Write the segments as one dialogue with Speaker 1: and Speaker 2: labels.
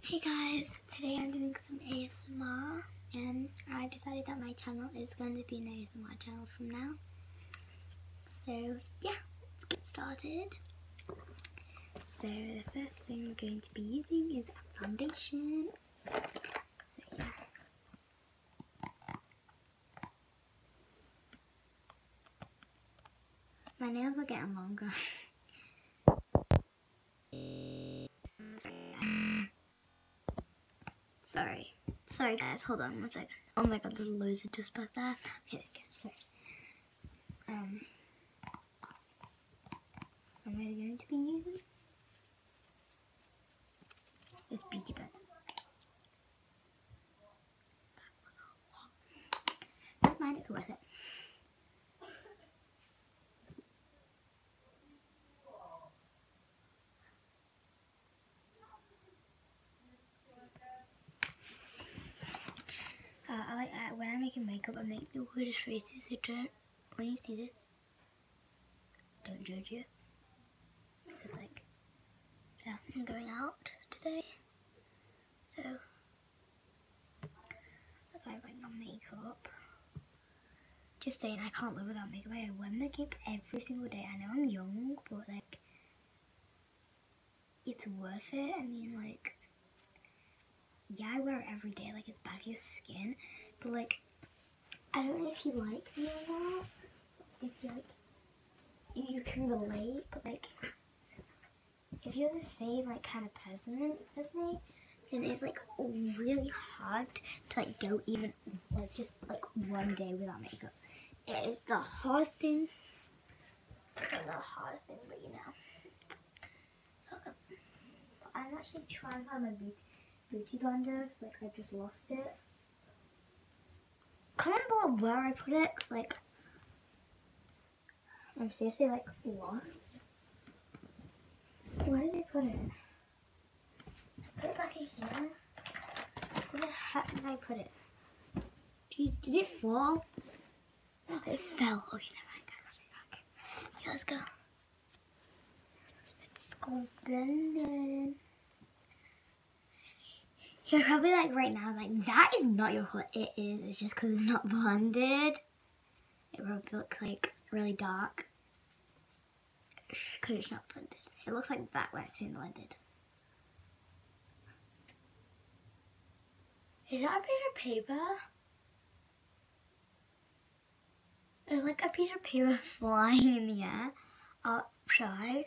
Speaker 1: Hey guys, today I'm doing some ASMR and I've decided that my channel is going to be an ASMR channel from now. So yeah, let's get started. So the first thing we're going to be using is a foundation. So yeah. My nails are getting longer. sorry. Sorry guys, hold on one second. Oh my god, there's loads of dust back there. Okay, Um, am I going to be using this beauty bit? Never mind, it's worth it. Uh, I like when I'm making makeup, I make the weirdest faces. So don't when you see this, don't judge it. Because like, yeah, I'm going out today, so that's why I like my makeup. Just saying, I can't live without makeup. I wear makeup every single day. I know I'm young, but like, it's worth it. I mean, like, yeah, I wear it every day. Like, it's bad for your skin, but like, I don't know if you like me or not. If you like, you can relate, but like, if you're the same like kind of person as me, then it's like really hard to like go even like just like one day without makeup. It is the hardest thing. The hardest thing, but you know. I'm actually trying to find my beauty, beauty blender like I just lost it. Can't remember where I put it like I'm seriously like lost. Where did I put it? I put it back in here. Where the heck did I put it? Jeez, did it fall? it fell. Okay, never I got it back. Okay, let's go. Let's go then. You're probably like right now, like that is not your color. It is. It's just because it's not blended. It will look like really dark because it's not blended. It looks like that way it's has blended. Is that a piece of paper? It's like a piece of paper flying in the air upside.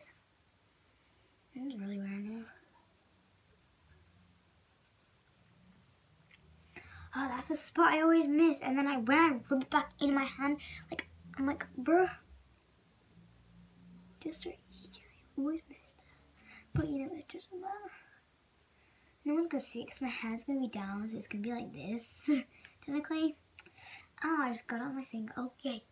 Speaker 1: Oh, that's a spot I always miss. And then I when I rub it back in my hand, like I'm like, bruh. Just right here. I always miss that. But you know, it just uh, no one's gonna see because my hand's gonna be down, so it's gonna be like this, technically. Oh, I just got it on my finger. Oh, yay.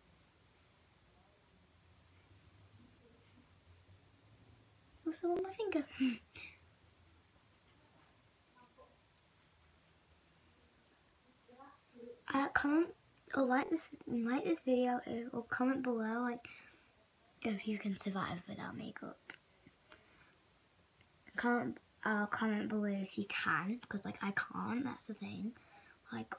Speaker 1: Also oh, on my finger. uh, comment or like this like this video or comment below like if you can survive without makeup. Comment uh, comment below if you can because like I can't. That's the thing. Like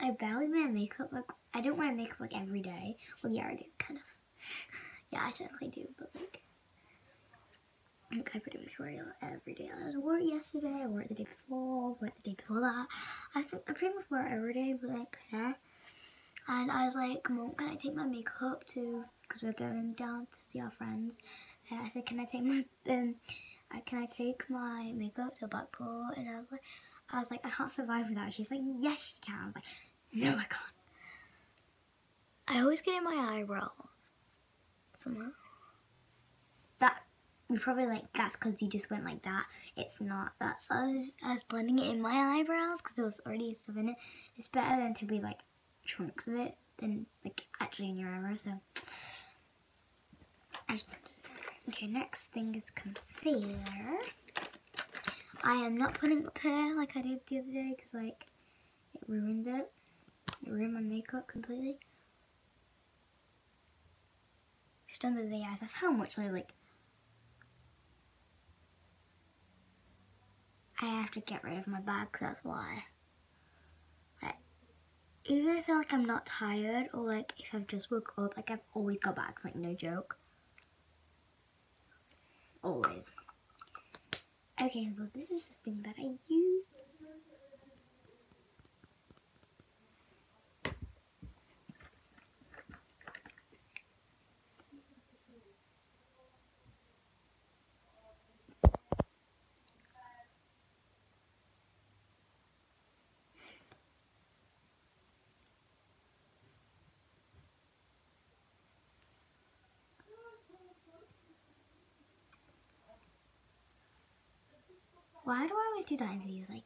Speaker 1: I barely wear makeup. Like I don't wear makeup like every day. Well, yeah, I do kind of. Yeah, I definitely do, but like, like I pretty much wear it every day. I wore it yesterday. I wore it the day before. Wore it the day before that. I think I pretty much wear every day, but like, yeah. And I was like, Mom, can I take my makeup to? Because we're going down to see our friends. I said, can I take my um, uh, can I take my makeup to a back pool? And I was like. I was like, I can't survive without it. She's like, yes, you can. I am like, no, I can't. I always get in my eyebrows somehow. That you're probably like, that's because you just went like that. It's not. That's I was, blending it in my eyebrows because it was already so. in It's better than to be like chunks of it than like actually in your eyebrows. So Okay, next thing is concealer. I am not putting a pair like I did the other day because like it ruined it. It ruined my makeup completely. Just under the eyes. That's how much I like. I have to get rid of my bag. That's why. Like, even if I feel like I'm not tired or like if I've just woke up, like I've always got bags, like no joke. Always. Okay, well this is the thing that I use. Why do I always do that in these? Like,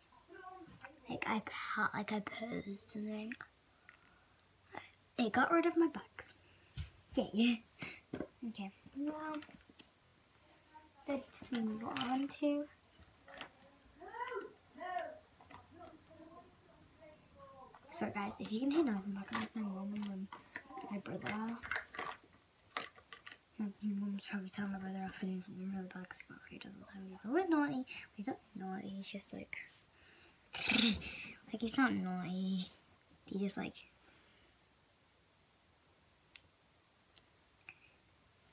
Speaker 1: like I like I posed and then it got rid of my bugs. Yeah, yeah. Okay. Well. Let's move on to So guys, if you can hear noise my mom my brother. My mom's probably telling my brother off and he's really bad because that's what he does all the time. He's always naughty. He's not naughty, he's just like... like, he's not naughty. He just like...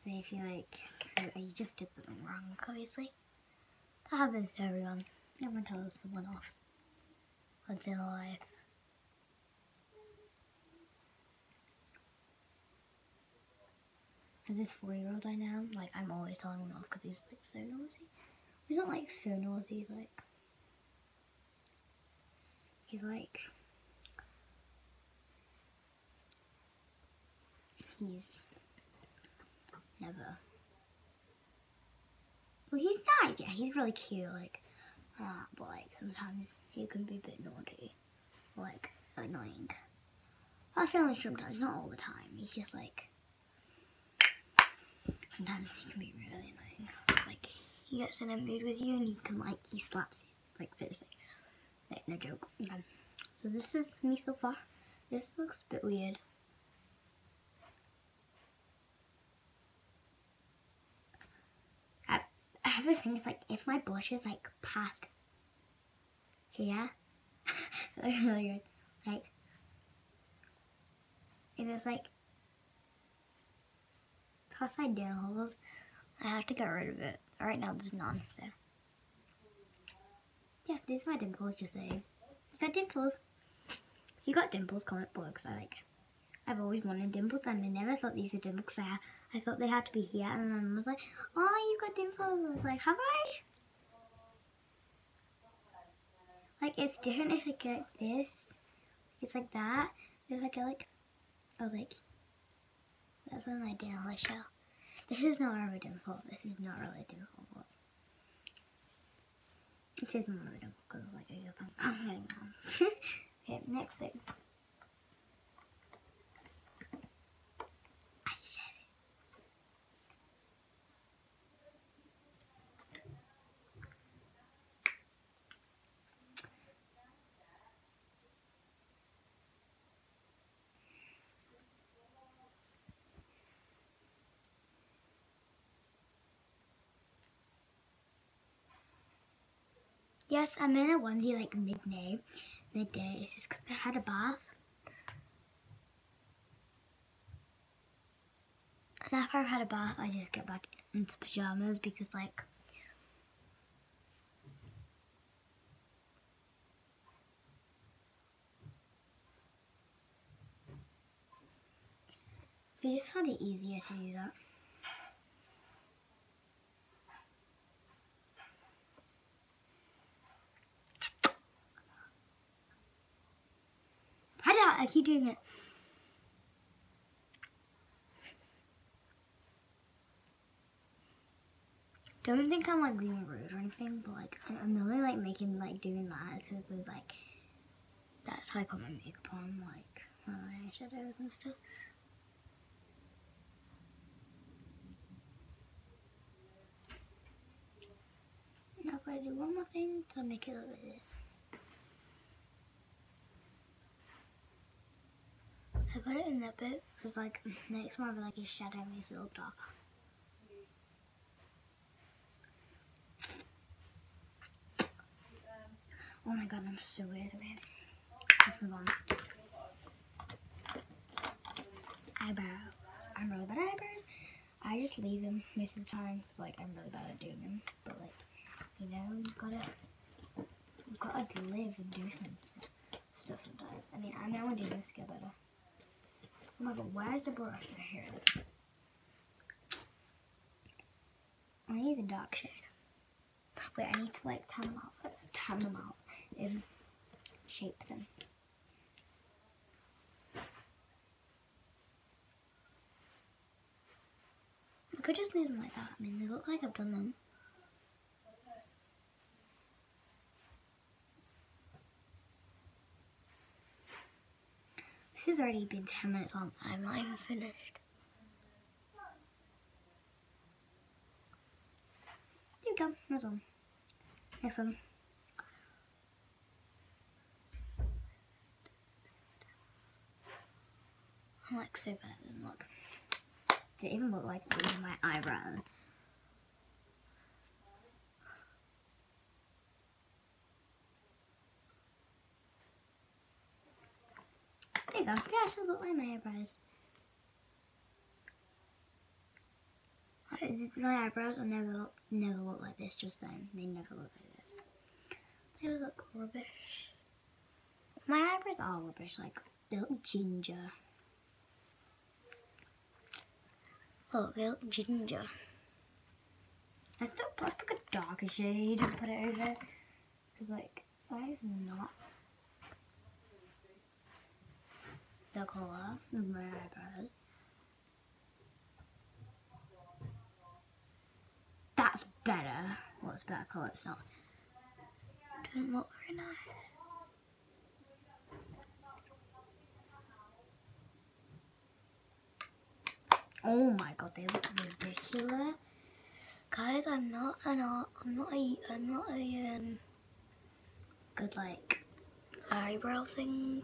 Speaker 1: Say if you like, you just did something wrong, obviously. That happens to everyone. Everyone tells someone off once in their life. As this four-year-old I know, like I'm always telling him off because he's like so noisy. He's not like so noisy. He's like he's like he's never well he's nice yeah he's really cute like uh, but like sometimes he can be a bit naughty like annoying I sometimes not all the time he's just like sometimes he can be really annoying like he gets in a mood with you and he can like he slaps you like seriously. Like no joke. so this is me so far. This looks a bit weird. I, have this thing, it's like if my blush is like past here, that's really good. Like, it's like Toss side down holes. I have to get rid of it. Right now this is none, so. Yeah, these are my dimples, just say You got dimples. You got dimples, comment below, because I like. I've always wanted dimples, and I never thought these were dimples, I, thought they had to be here, and then I was like, oh, you got dimples. I was like, have I? Like, it's different if I get like this. It's like that. If I get like I oh, was like, that's on my Daniela show. This is not Armadillo fault. This is not really Daniela fault. It is not Armadillo because like I guess I'm hanging on. okay, next thing. Yes, I'm in a onesie like midday. Midday. It's just because I had a bath. And after I've had a bath, I just get back into pajamas because like we just found it easier to do that. I keep doing it. Don't think I'm like being rude or anything, but like I'm really like making like doing that because it's like that's how I put my makeup on, like my eyeshadows and stuff. Now I've got to do one more thing to make it look like this. I put it in that bit because like makes more of like a shadowy, makes it look dark. Oh my god, I'm so weird. let's move on. Eyebrows. I'm really bad at eyebrows. I just leave them most of the time because like I'm really bad at doing them. But like, you know, you gotta, you gotta live and do some stuff sometimes. I mean, I know I'm this get better. Oh my god, why is the brush right here? I use a dark shade. Wait, I need to like tan them out first. Tan them out and shape them. I could just leave them like that. I mean, they look like I've done them. This has already been 10 minutes on. I'm not even finished. There we go. That's one. Next one. I'm like so bad at them, look. They even look like my eyebrows. There you go, they actually look like my eyebrows. My eyebrows will never look, never look like this just then. They never look like this. It was look rubbish. My eyebrows are rubbish, like they ginger. Oh, look, ginger. I still do, pick a darker shade and put it over it. Because like, that is not the colour of my eyebrows. That's better. What's better colour? It's not. does look very nice. Oh my god, they look ridiculous, guys. I'm not an art. I'm not a. I'm not a um. Good like eyebrow thing.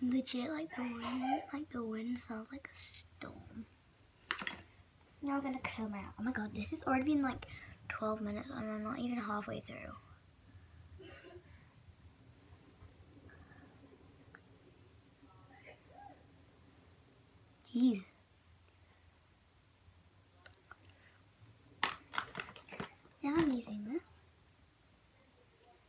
Speaker 1: legit like the wind like the wind sounds like a storm. Now I'm gonna comb out. Oh my god, this has already been like 12 minutes and I'm not even halfway through. Jeez. Now I'm using this.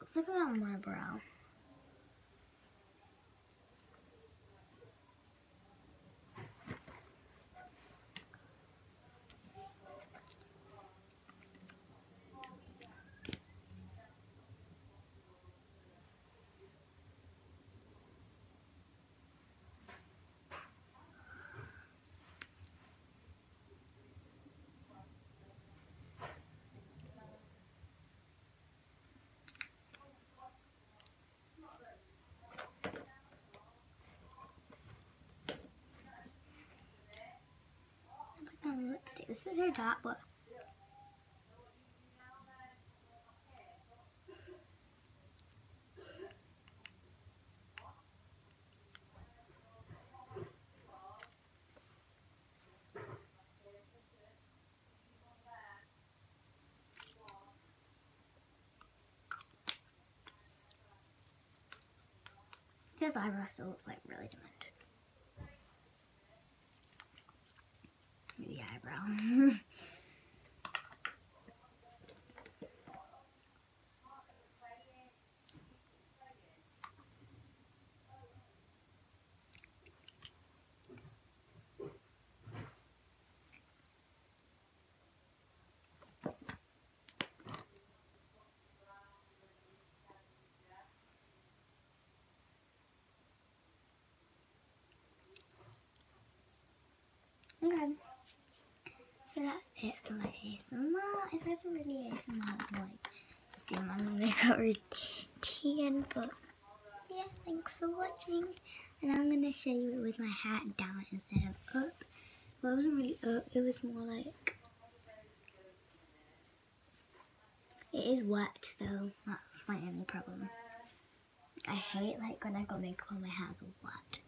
Speaker 1: Looks like I got my brow. Put down lipstick. This is her dark blue. His eyebrow still looks like really demented. The eyebrow. Okay. So that's it for my ASMR. It wasn't really ASMR like still not gonna make a routine, but yeah, thanks for watching. And I'm gonna show you with my hat down instead of up. Well, it wasn't really up, it was more like, it is wet, so that's my only problem. I hate like when I got makeup on my hair's wet.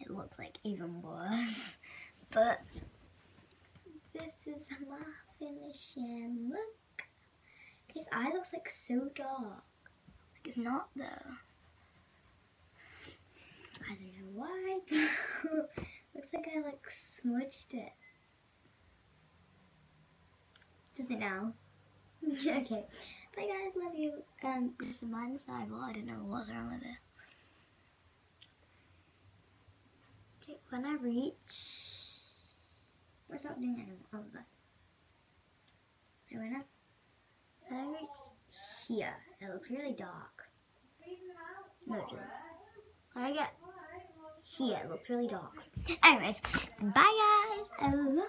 Speaker 1: It looks like even worse. But this is my finishing look. His eye looks like so dark. Like it's not though. I don't know why, looks like I like smudged it. Does it now? okay. Bye guys, love you. Um, just mind the eyeball. I don't know what's wrong with it when I reach, we're not doing any of that. I oh, went up, and I reached here. It looks really dark. No, it When I get here, it looks really dark. Anyways, bye guys. I love.